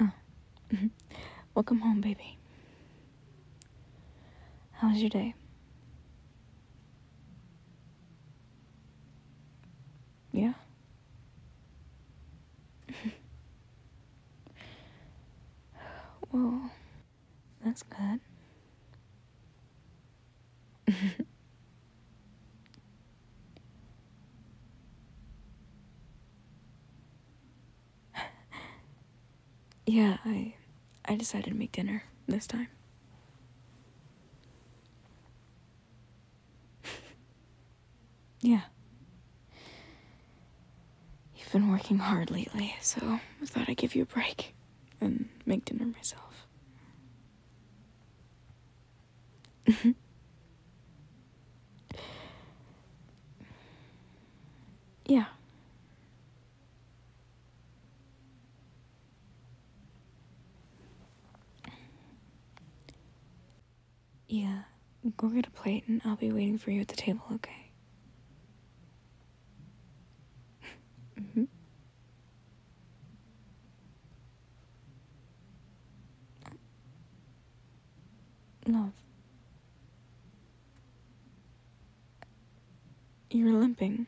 Oh, welcome home, baby. How was your day? Yeah? well, that's good. yeah, I I decided to make dinner this time. Yeah. You've been working hard lately, so I thought I'd give you a break and make dinner myself. yeah. Yeah, go get a plate and I'll be waiting for you at the table, okay? Mm-hmm. Love. You're limping.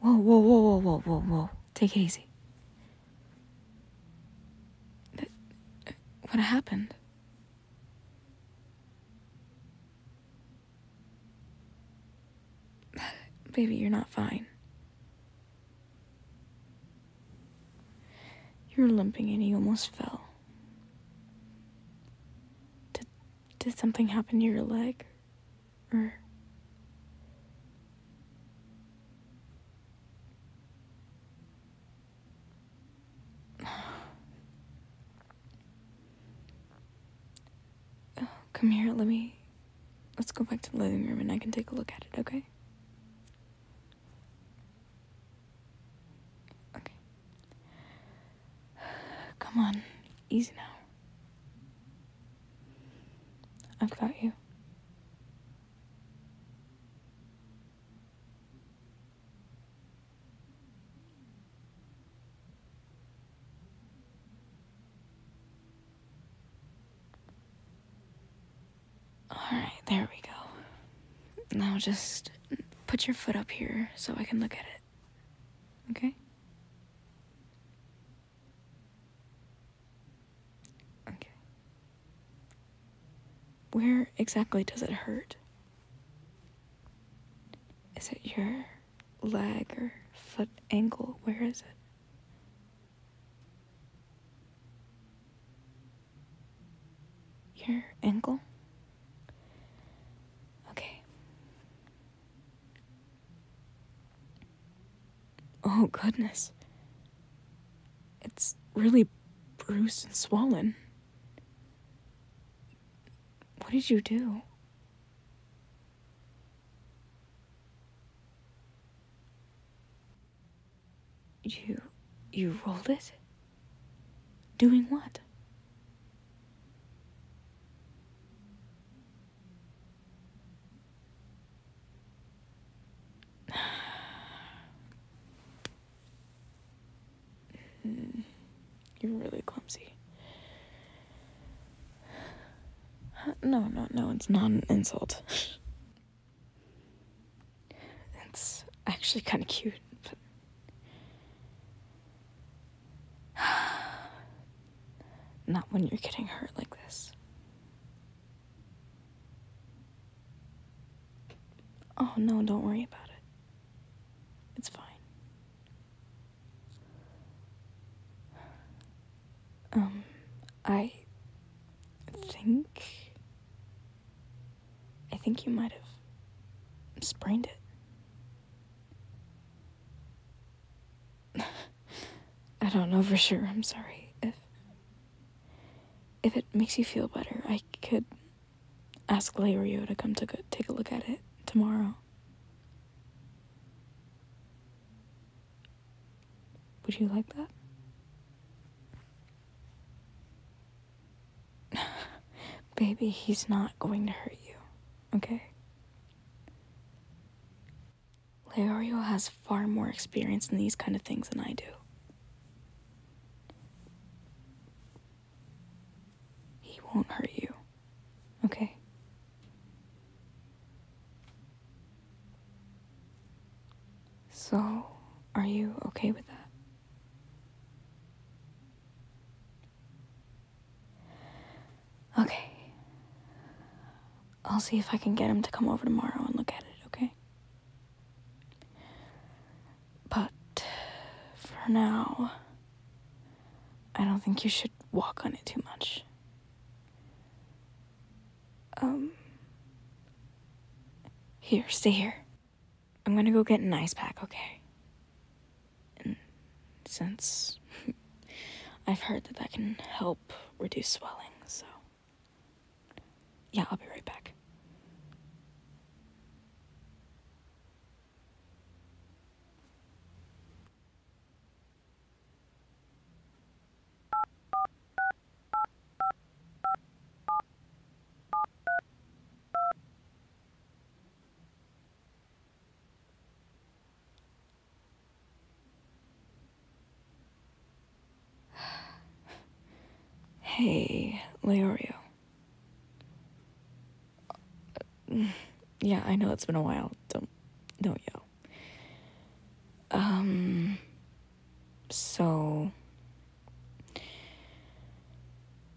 Whoa, whoa, whoa, whoa, whoa, whoa, whoa. Take it easy. What happened? Baby, you're not fine. You are limping and you almost fell. Did, did something happen to your leg? Oh, come here, let me let's go back to the living room and I can take a look at it, okay? Okay. Come on, easy now. I've got you. Alright, there we go. Now just put your foot up here so I can look at it. Okay? Okay. Where exactly does it hurt? Is it your leg or foot ankle? Where is it? Your ankle? Okay. Oh, goodness. It's really bruised and swollen. What did you do? You. you rolled it? Doing what? You're really clumsy. No, no, no, it's not an insult. it's actually kind of cute, not when you're getting hurt like this. Oh no, don't worry about it. It's fine. Um, I think. I think you might have sprained it. I don't know for sure. I'm sorry. If if it makes you feel better, I could ask Lario to come to go, take a look at it tomorrow. Would you like that? Baby, he's not going to hurt you okay? Leorio has far more experience in these kind of things than I do. He won't hurt you, okay? So, are you okay with that? Okay. I'll see if I can get him to come over tomorrow and look at it, okay? But for now, I don't think you should walk on it too much. Um, here, stay here. I'm gonna go get an ice pack, okay? and since I've heard that that can help reduce swelling, so yeah, I'll be right back hey, Leorio. Yeah, I know it's been a while. Don't, don't yell. Um, so,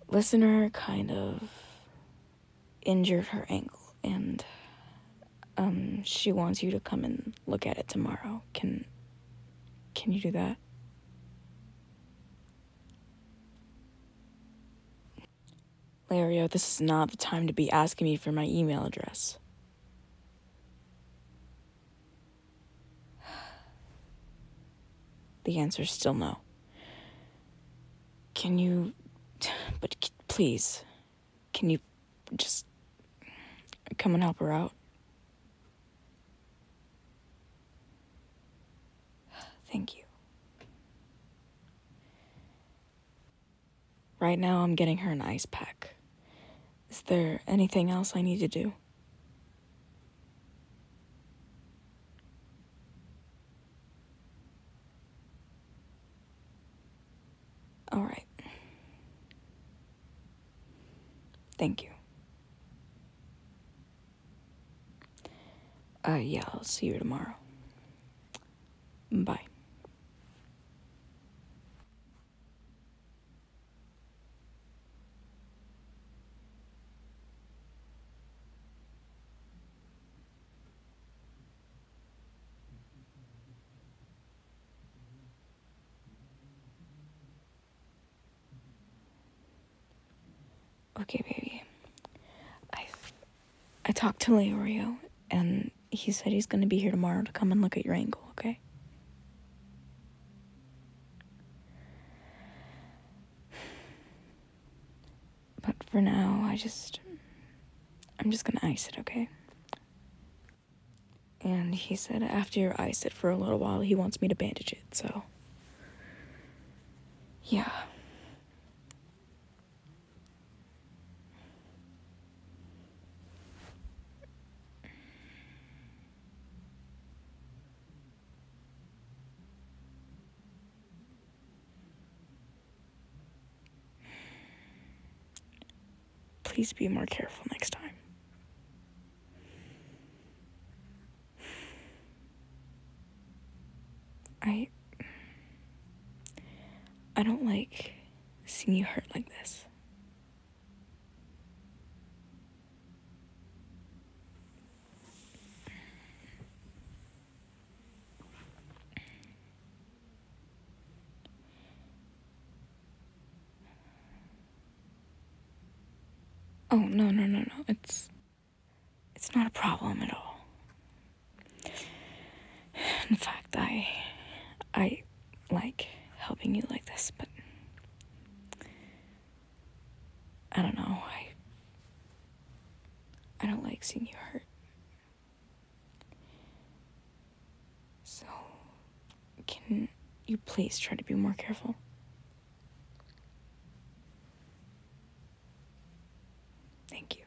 listener kind of injured her ankle and um, she wants you to come and look at it tomorrow. Can can you do that? Lario, oh, this is not the time to be asking me for my email address. The answer is still no. Can you. But please, can you just come and help her out? Thank you. Right now, I'm getting her an ice pack. Is there anything else I need to do? All right. Thank you. Uh, yeah, I'll see you tomorrow. Bye. Okay, baby. I I talked to Leorio and he said he's going to be here tomorrow to come and look at your ankle, okay? But for now, I just. I'm just gonna ice it, okay? And he said after you ice it for a little while, he wants me to bandage it, so. Yeah. Please be more careful next time. I I don't like seeing you hurt like this. Oh, no, no, no, no. It's it's not a problem at all. In fact, I I like helping you like this, but I don't know. I I don't like seeing you hurt. So can you please try to be more careful? Thank you.